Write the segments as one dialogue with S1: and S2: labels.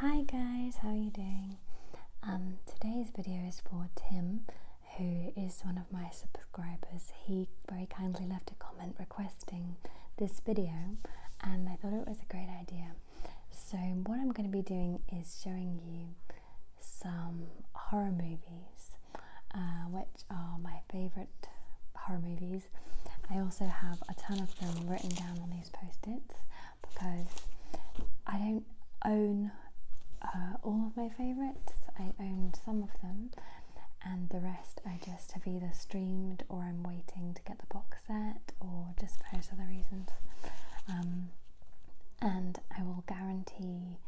S1: Hi guys, how are you doing? Um, today's video is for Tim, who is one of my subscribers. He very kindly left a comment requesting this video, and I thought it was a great idea. So, what I'm going to be doing is showing you some horror movies, uh, which are my favorite horror movies. I also have a ton of them written down on the post-its because I don't own uh, all of my favourites. I own some of them and the rest I just have either streamed or I'm waiting to get the box set or just various other reasons. Um, and I will guarantee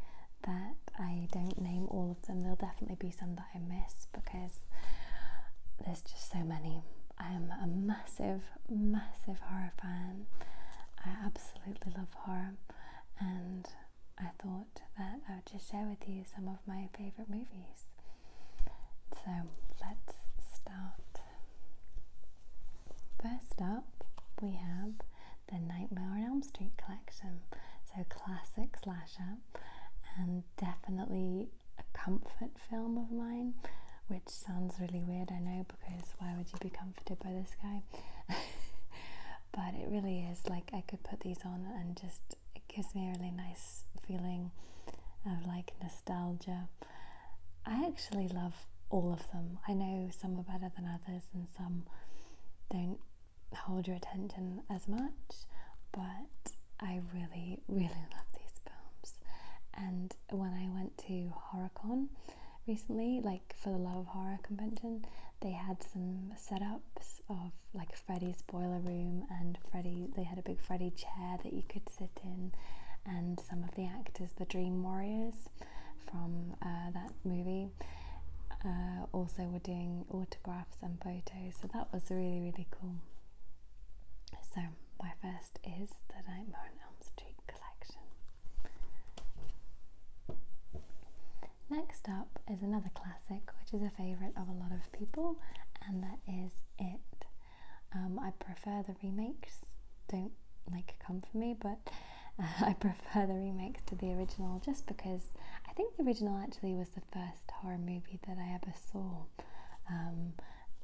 S1: that I don't name all of them. There'll definitely be some I miss because there's just so many. I am a massive, massive horror fan. I absolutely love horror, and I thought that I would just share with you some of my favourite movies. So let's start. First up, we have the Nightmare on Elm Street collection. So classic slasher, and definitely a comfort film of mine, which sounds really weird, I know, because why would you be comforted by this guy? but it really is like I could put these on and just it gives me a really nice feeling of like nostalgia. I actually love all of them. I know some are better than others and some don't hold your attention as much, but I really really love these films. And when I went to HorrorCon recently, like for the Love of Horror convention, they had some setups of like Freddy's boiler room and Freddy. They had a big Freddy chair that you could sit in, and some of the actors, the Dream Warriors from uh, that movie, uh, also were doing autographs and photos. So that was really really cool. So, my first is the Nightmare on Elm Street collection. Next up is another classic, which is a favourite of a lot of people, and that is It. Um, I prefer the remakes, don't like come for me, but I prefer the remakes to the original just because I think the original actually was the first horror movie that I ever saw. Um,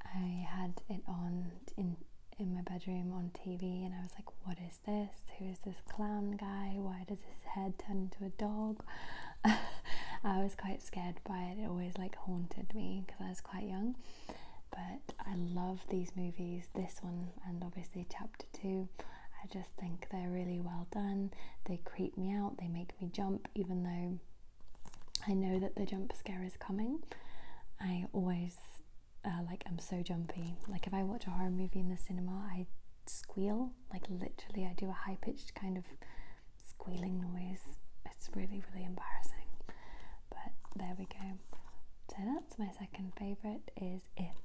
S1: I had it on in in my bedroom on TV, and I was like, "What is this? Who is this clown guy? Why does his head turn into a dog?" I was quite scared by it. It always like haunted me because I was quite young. But I love these movies. This one and obviously Chapter Two. I just think they're really well done. They creep me out. They make me jump, even though I know that the jump scare is coming. I always uh, like I'm so jumpy. Like if I watch a horror movie in the cinema, I squeal. Like literally, I do a high pitched kind of squealing noise. It's really really embarrassing. But there we go. So that's my second favorite. Is it?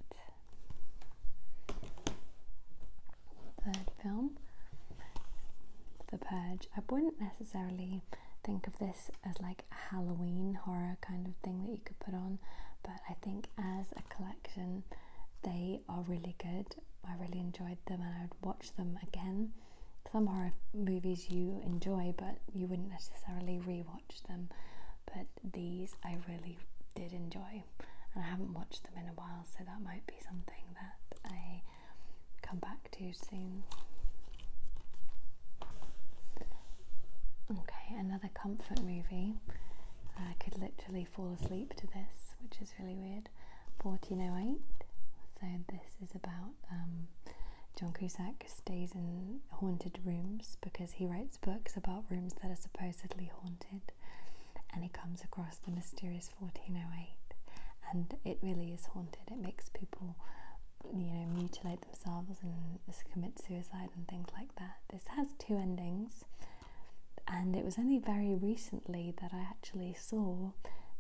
S1: third film, The Purge. I wouldn't necessarily think of this as like a Halloween horror kind of thing that you could put on, but I think as a collection, they are really good. I really enjoyed them and I would watch them again. Some horror movies you enjoy, but you wouldn't necessarily rewatch them. But these I really did enjoy and I haven't watched them in a while, so that might be something that I come back to soon. Okay, another comfort movie. I could literally fall asleep to this, which is really weird. 1408. So, this is about um, John Cusack stays in haunted rooms because he writes books about rooms that are supposedly haunted and he comes across the mysterious 1408 and it really is haunted. It makes people, you know, mutilate themselves and commit suicide and things like that. This has two endings, and it was only very recently that I actually saw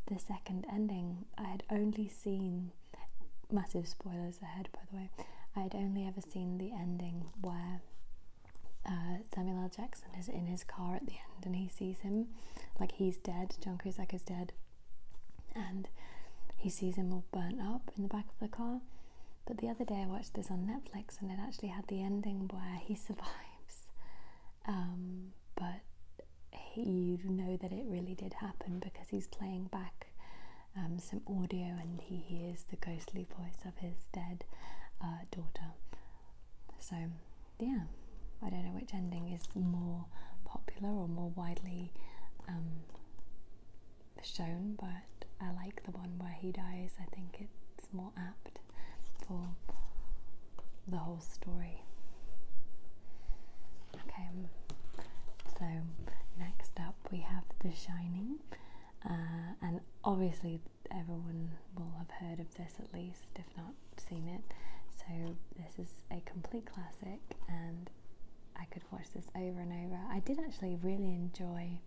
S1: the second ending. I had only seen massive spoilers ahead, by the way. I had only ever seen the ending where uh, Samuel L. Jackson is in his car at the end and he sees him, like he's dead, John Cusack is dead, and he sees him all burnt up in the back of the car. But the other day I watched this on Netflix and it actually had the ending where he survives. Um, but you know that it really did happen because he's playing back um, some audio and he hears the ghostly voice of his dead uh, daughter so, yeah, I don't know which ending is more popular or more widely um, shown, but I like the one where he dies. I think it's more apt for the whole story. Okay, so next up we have The Shining, uh, and obviously everyone will have heard of this at least, if not seen it. So, this is a complete classic, and I could watch this over and over. I did actually really enjoy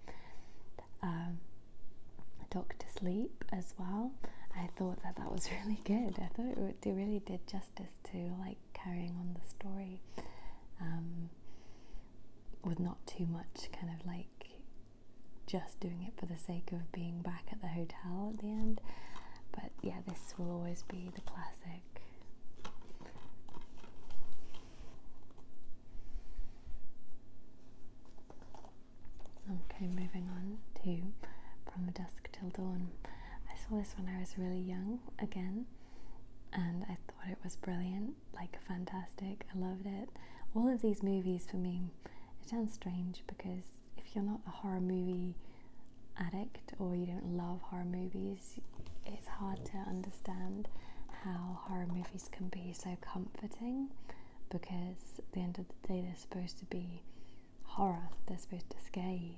S1: um, Doctor Sleep as well. I thought that that was really good. I thought it really did justice to like carrying on the story um, with not too much kind of like just doing it for the sake of being back at the hotel at the end. But yeah, this will always be the classic. Okay, moving on to From Dusk Till Dawn. I saw this when I was really young again, and I thought it was brilliant like fantastic. I loved it. All of these movies for me, it sounds strange because if you're not a horror movie addict or you don't love horror movies, it's hard to understand how horror movies can be so comforting because at the end of the day, they're supposed to be horror, they're supposed to scare you.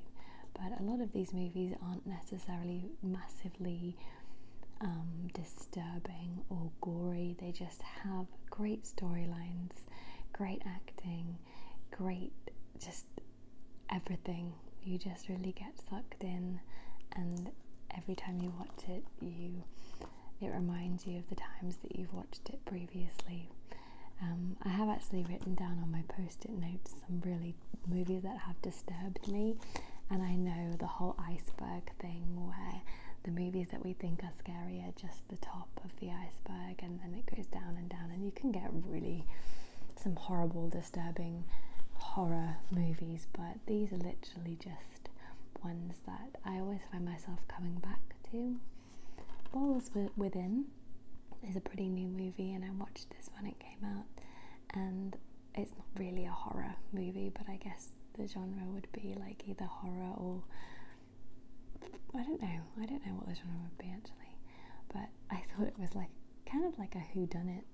S1: But a lot of these movies aren't necessarily massively um, disturbing or gory, they just have great storylines, great acting, great just everything. You just really get sucked in, and every time you watch it, you it reminds you of the times that you've watched it previously. Um, I have actually written down on my post-it notes some really movies that have disturbed me, and I know the whole iceberg thing where the movies that we think are scarier are just the top of the iceberg, and then it goes down and down, and you can get really some horrible, disturbing horror movies, but these are literally just ones that I always find myself coming back to. Balls Within is a pretty new movie, and I watched this when it came out, and it's not really a horror movie, but I guess the genre would be like either horror or I don't know. I don't know what the genre would be actually, but I thought it was like kind of like a who done it,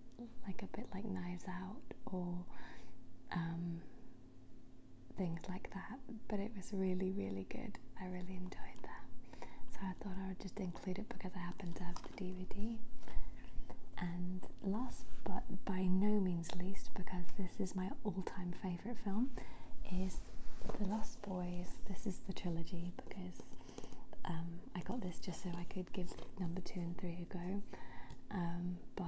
S1: like a bit like Knives Out or um, things like that. But it was really really good. I really enjoyed that, so I thought I would just include it because I happen to have the DVD, and last but by no means least, because this is my all time favourite film, is The Lost Boys. This is the trilogy because um, I got this just so I could give number two and three a go. Um, but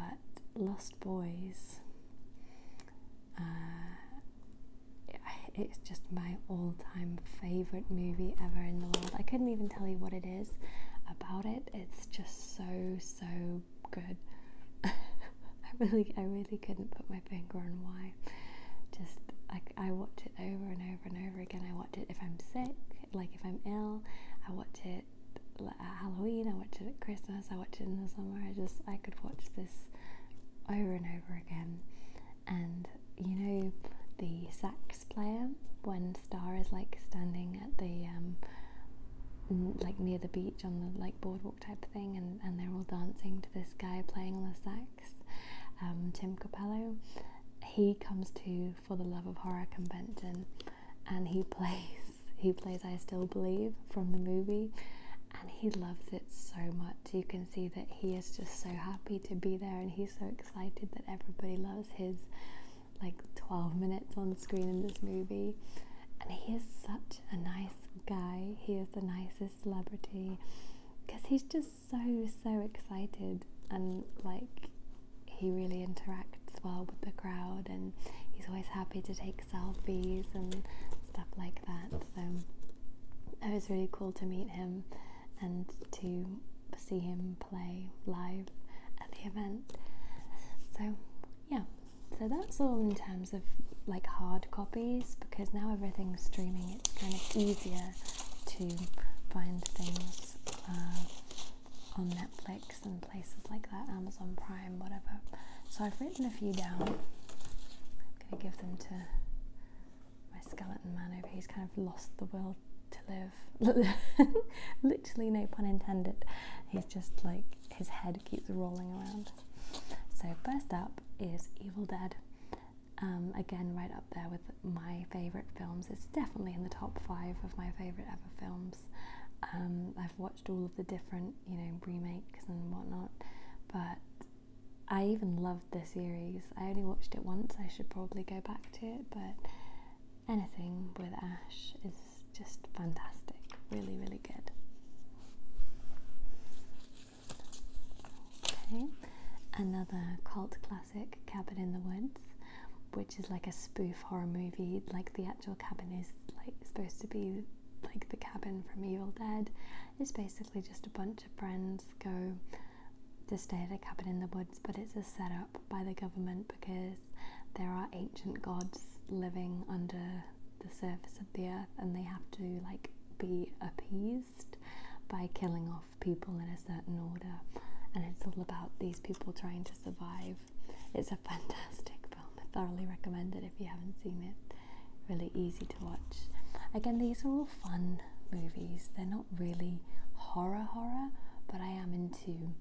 S1: Lost Boys, uh, it's just my all time favourite movie ever in the world. I couldn't even tell you what it is about it. It's just so so good. I really, I really couldn't put my finger on why. Just like I watch it over and over and over again. I watch it if I'm sick, like if I'm ill. I watch it at Halloween. I watch it at Christmas. I watch it in the summer. I just I could watch this over and over again. And you know the sax player when star is like standing at the um, like near the beach on the like boardwalk type thing, and and they're all dancing to this guy playing on the sax, um, Tim Capello. He comes to for the love of horror convention, and he plays he plays I Still Believe from the movie. And he loves it so much. You can see that he is just so happy to be there, and he's so excited that everybody loves his like 12 minutes on screen in this movie. And he is such a nice guy. He is the nicest celebrity because he's just so, so excited and like he really interacts well with the crowd and he's always happy to take selfies and stuff like that. So it was really cool to meet him and to see him play live at the event. So, yeah, so that's all in terms of like hard copies because now everything's streaming, it's kind of easier to find things uh, on Netflix and places like that, Amazon Prime, whatever. So, I've written a few down. I'm going to give them to my skeleton man over he's kind of lost the will to live literally no pun intended he's just like his head keeps rolling around so first up is evil dead um, again right up there with my favorite films it's definitely in the top five of my favorite ever films um, i've watched all of the different you know remakes and whatnot but i even loved the series i only watched it once i should probably go back to it but anything with ash is just fantastic. Really, really good. Okay, another cult classic, Cabin in the Woods, which is like a spoof horror movie. Like the actual cabin is like supposed to be like the cabin from Evil Dead. It's basically just a bunch of friends go to stay at a cabin in the woods, but it's a setup by the government because there are ancient gods living under the surface of the earth and they have to like be appeased by killing off people in a certain order and it's all about these people trying to survive it's a fantastic film i thoroughly recommend it if you haven't seen it really easy to watch again these are all fun movies they're not really horror horror but i am in into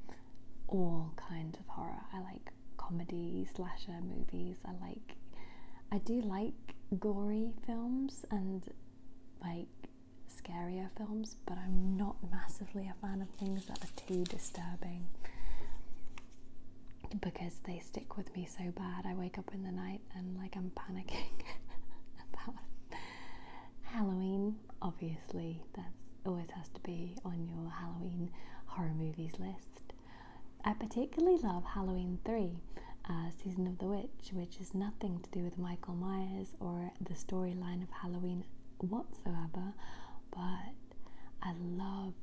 S1: all kinds of horror. I like comedy, slasher movies. I like, I do like gory films and like scarier films, but I'm not massively a fan of things that are too disturbing because they stick with me so bad. I wake up in the night and like I'm panicking about Halloween Obviously, that always has to be on your Halloween horror movies list. I particularly love Halloween 3, uh, Season of the Witch, which is nothing to do with Michael Myers or the storyline of Halloween whatsoever, but I love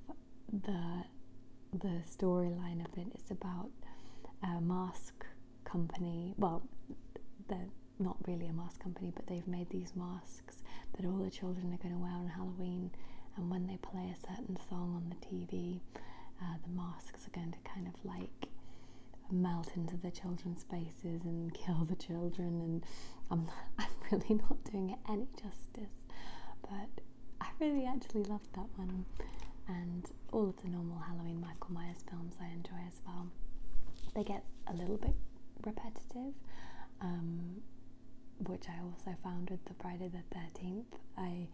S1: the the storyline of it. It's about a mask company, well, the not really a mask company, but they've made these masks that all the children are going to wear on Halloween. And when they play a certain song on the TV, uh, the masks are going to kind of like melt into the children's faces and kill the children. And I'm, I'm really not doing it any justice, but I really actually loved that one. And all of the normal Halloween Michael Myers films I enjoy as well. They get a little bit repetitive, um, which I also found with the Friday the 13th. I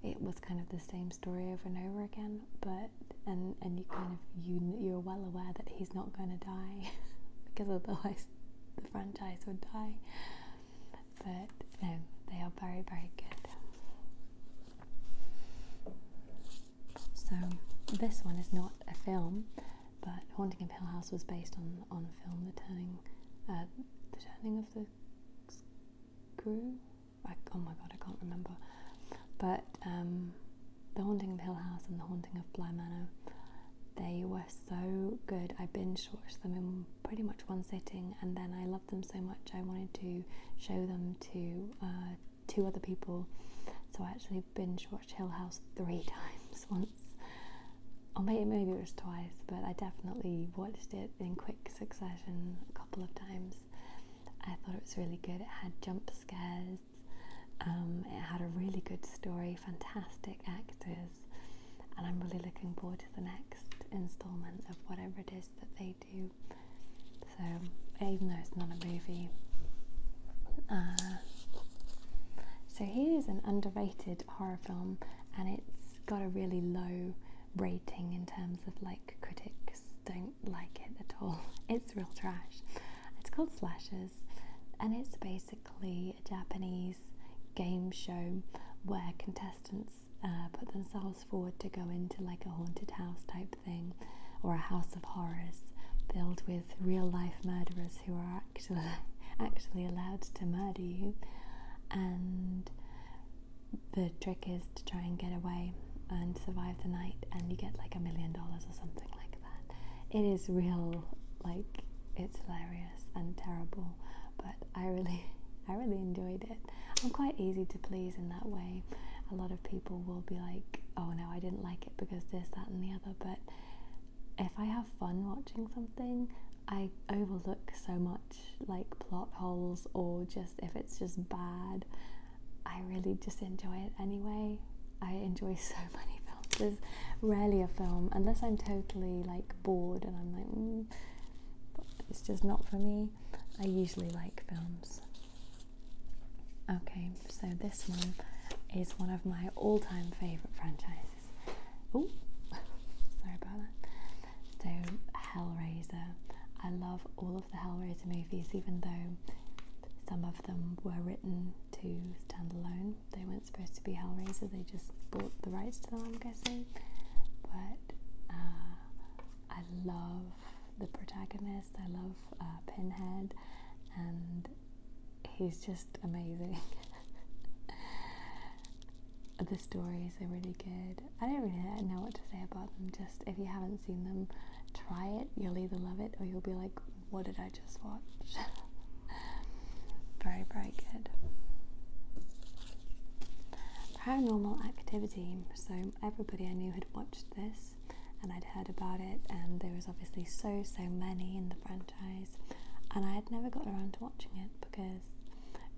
S1: it was kind of the same story over and over again, but and and you kind of you you're well aware that he's not going to die because otherwise the franchise would die. But um, they are very very good. So this one is not a film, but Haunting of Hill House was based on on film The Turning, uh, The Turning of the Screw. I, oh my god, I can't remember. But um, The Haunting of Hill House and The Haunting of Blair Manor, they were so good. I binge watched them in pretty much one sitting, and then I loved them so much I wanted to show them to uh, two other people. So I actually binge watched Hill House three times once, or maybe maybe it was twice, but I definitely watched it in quick succession a couple of times. I thought it was really good. It had jump scares. Um, it had a really good story, fantastic actors, and I'm really looking forward to the next installment of whatever it is that they do so even though it's not a movie. Uh, so here's an underrated horror film, and it's got a really low rating in terms of like critics don't like it at all. It's real trash. It's called Slashes, and it's basically a Japanese game show where contestants uh, put themselves forward to go into like a haunted house type thing or a house of horrors filled with real life murderers who are actually actually allowed to murder you and the trick is to try and get away and survive the night and you get like a million dollars or something like that it is real like it's hilarious and terrible but i really i really enjoyed it I'm quite easy to please in that way. A lot of people will be like, oh no, I didn't like it because this, that, and the other. But if I have fun watching something, I overlook so much like plot holes or just if it's just bad. I really just enjoy it anyway. I enjoy so many films. There's rarely a film, unless I'm totally like bored and I'm like, mm, it's just not for me. I usually like films. Okay, so this one is one of my all time favourite franchises. Oh, sorry about that. So, Hellraiser. I love all of the Hellraiser movies, even though some of them were written to stand alone. They weren't supposed to be Hellraiser, they just bought the rights to them, I'm guessing. But uh, I love the protagonist, I love uh, Pinhead, and he's just amazing. the stories are really good. I don't really know what to say about them. Just if you haven't seen them, try it. You'll either love it or you'll be like, what did I just watch? very, very good. Paranormal activity. So, everybody I knew had watched this and I'd heard about it, and there was obviously so so many in the franchise, and I had never got around to watching it because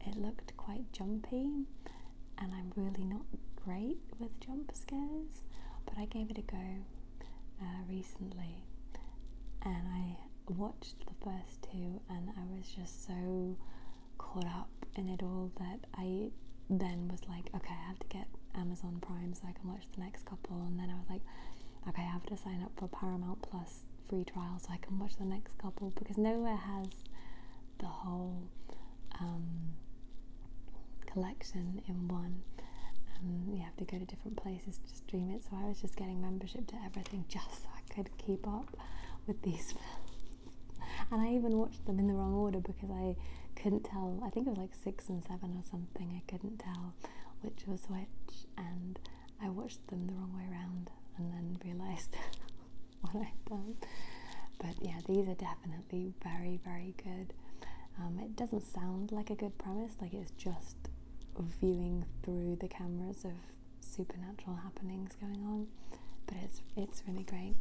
S1: it looked quite jumpy, and I'm really not great with jump scares, but I gave it a go uh, recently, and I watched the first two, and I was just so caught up in it all that I then was like, okay, I have to get Amazon Prime so I can watch the next couple. And then I was like, okay, I have to sign up for Paramount Plus free trial so I can watch the next couple because nowhere has the whole um, collection in one. Um, you have to go to different places to stream it. So I was just getting membership to everything just so I could keep up with these films. and I even watched them in the wrong order because I couldn't tell. I think it was like six and seven or something. I couldn't tell which was which, and I watched them the wrong way around and then realized what I'd done. But yeah, these are definitely very, very good. Um, it doesn't sound like a good premise, like it's just viewing through the cameras of supernatural happenings going on but it's it's really great.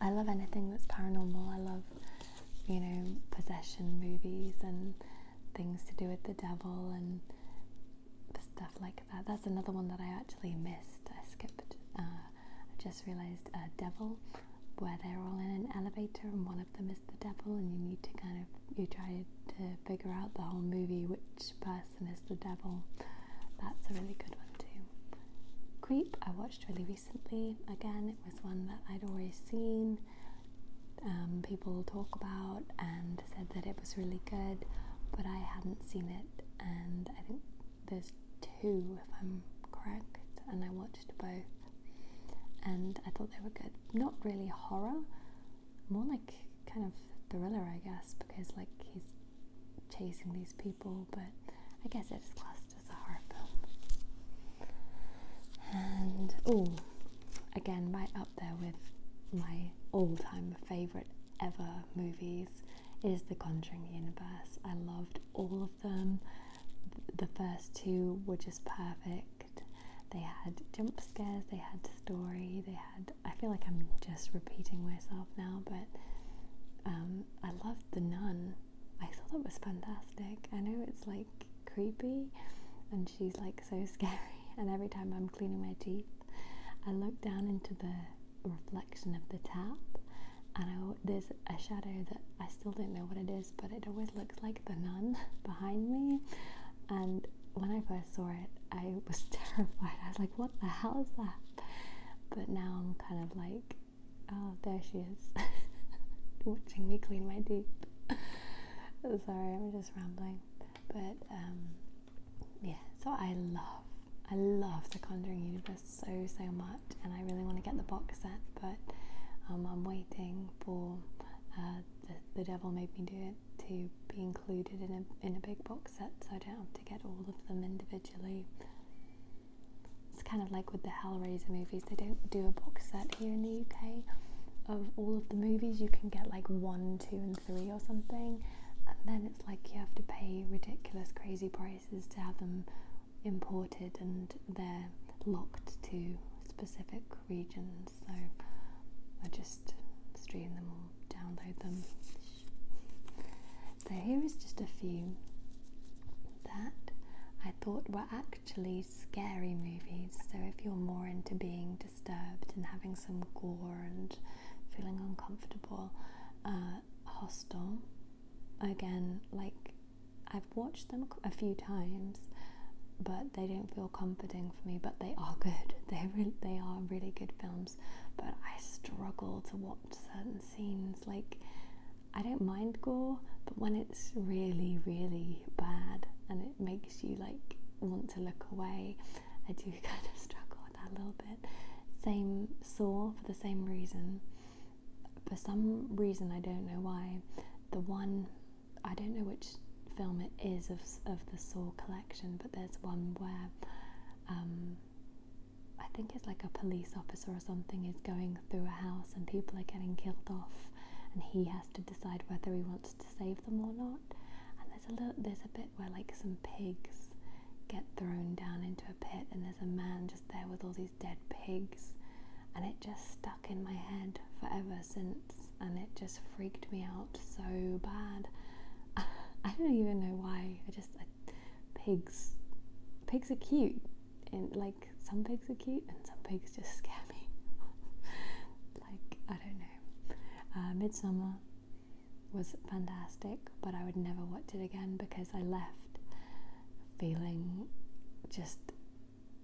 S1: I love anything that's paranormal. I love you know possession movies and things to do with the devil and stuff like that. That's another one that I actually missed. I skipped. Uh, I just realised a uh, Devil, where they're all in an elevator and one of them is the devil, and you need to kind of you try to figure out the whole movie which person and is the devil. That's a really good one too. Creep, I watched really recently. Again, it was one that I'd already seen. Um, people talk about and said that it was really good, but I hadn't seen it. And I think there's two, if I'm correct, and I watched both. And I thought they were good. Not really horror, more like kind of thriller, I guess, because like he's chasing these people, but I guess it is classed as a horror film. And oh, again, right up there with my all-time favorite ever movies is the Conjuring universe. I loved all of them. The first two were just perfect. They had jump scares, they had story, they had I feel like I'm just repeating myself now, but um, I loved The Nun. I thought it was fantastic. I know it's like creepy and she's like so scary, and every time I'm cleaning my teeth, I look down into the reflection of the tap, and I, there's a shadow that I still don't know what it is, but it always looks like the nun behind me. And when I saw it, I was terrified. I was like, what the hell is that? But now I'm kind of like, oh, there she is, watching me clean my teeth. Sorry, I'm just rambling. But um, yeah, so I love, I love the Conjuring universe so, so much, and I really want to get the box set, but um, I'm waiting for uh, the, the Devil Made Me Do It to be included in a, in a big box set so I don't have to get all of them individually. It's kind of like with the Hellraiser movies, they don't do a box set here in the UK of all of the movies. You can get like one, two, and three or something, and then it's like you have to pay ridiculous, crazy prices to have them imported and they're locked to specific regions. So I just stream them or download them so here is just a few that I thought were actually scary movies. So if you're more into being disturbed and having some gore and feeling uncomfortable, uh, hostile, again, like I've watched them a few times, but they don't feel comforting for me. But they are good. They really, they are really good films but I struggle to watch certain scenes. Like, I don't mind gore, but when it's really, really bad and it makes you like want to look away, I do kind of struggle with that a little bit. Same Saw for the same reason. For some reason, I don't know why. The one, I don't know which film it is of, of the Saw collection, but there's one where um, I think it's like a police officer or something is going through a house and people are getting killed off, and he has to decide whether he wants to save them or not. And there's a little, there's a bit where like some pigs get thrown down into a pit, and there's a man just there with all these dead pigs, and it just stuck in my head forever since, and it just freaked me out so bad. I don't even know why. I just pigs. Pigs are cute, and like some pigs are cute, and some pigs just scare me. like I don't know. Uh, Midsummer was fantastic, but I would never watch it again because I left feeling just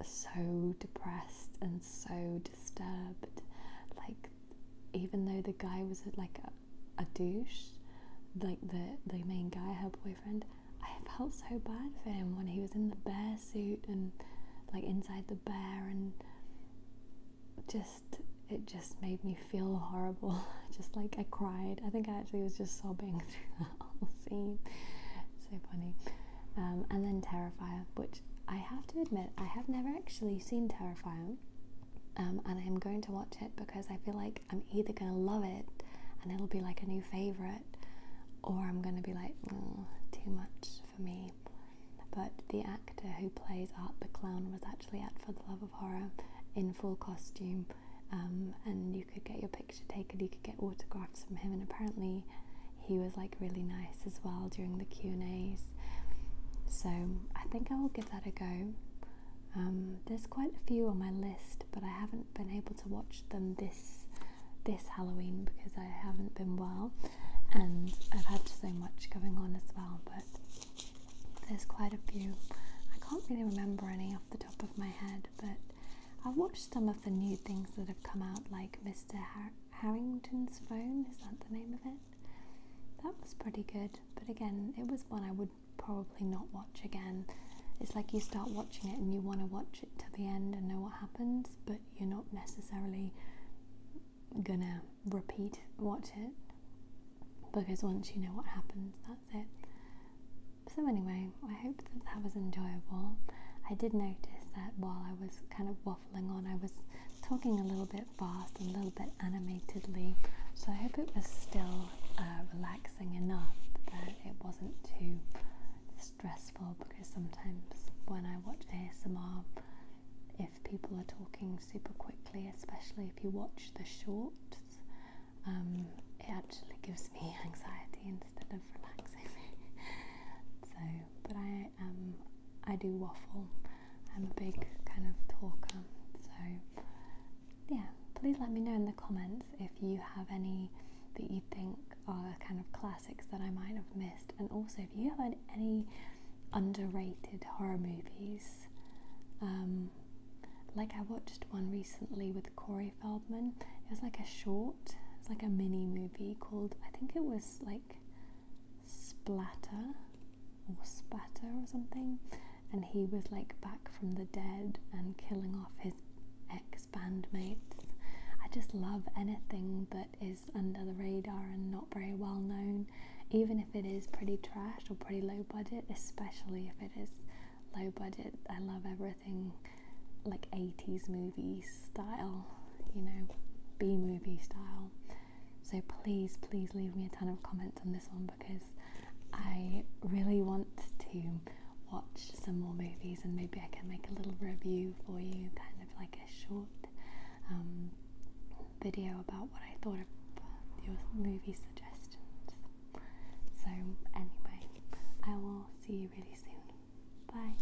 S1: so depressed and so disturbed. Like even though the guy was like a, a douche, like the the main guy, her boyfriend, I felt so bad for him when he was in the bear suit and like inside the bear and just it just made me feel horrible. just like I cried. I think I actually was just sobbing through the whole scene. So funny. Um, and then Terrifier, which I have to admit, I have never actually seen Terrifier, um, and I'm going to watch it because I feel like I'm either going to love it and it'll be like a new favourite, or I'm going to be like, mm, too much for me. But the actor who plays Art the Clown was actually at For the Love of Horror in full costume, um, and you could get your picture taken, you could get autographs from him, and apparently he was like really nice as well during the Q and A's. So I think I will give that a go. Um, there's quite a few on my list, but I haven't been able to watch them this this Halloween because I haven't been well, and I've had so much going on as well. But there's quite a few. I can't really remember any off the top of my head, but I've watched some of the new things that have come out, like Mr. Harrington's Phone. Is that the name of it? That was pretty good, but again, it was one I would probably not watch again. It's like you start watching it and you want to watch it to the end and know what happens, but you're not necessarily gonna repeat watch it because once you know what happens, that's it. So, anyway, I hope that that was enjoyable. I did notice that while I was kind of waffling I was talking a little bit fast, a little bit animatedly, so I hope it was still uh, relaxing enough that it wasn't too stressful because sometimes when I watch ASMR, if people are talking super quickly, especially if you watch the shorts, um, it actually gives me anxiety instead of relaxing so but I um I do waffle. I'm a big kind of talker, so yeah. Please let me know in the comments if you have any that you think are kind of classics that I might have missed, and also if you have any underrated horror movies. Um, like I watched one recently with Corey Feldman. It was like a short, it's like a mini movie called I think it was like splatter or spatter or something, and he was like back from the dead and killing off his ex bandmates. I just love anything that is under the radar and not very well known, even if it is pretty trash or pretty low budget, especially if it is low budget. I love everything like 80s movies style, you know, B movie style. So please, please leave me a ton of comments on this one because I really want to watch some more movies and maybe I can make a little review for you, kind of like a short um, video about what I thought of your movie suggestions. So, anyway, I will see you really soon. Bye.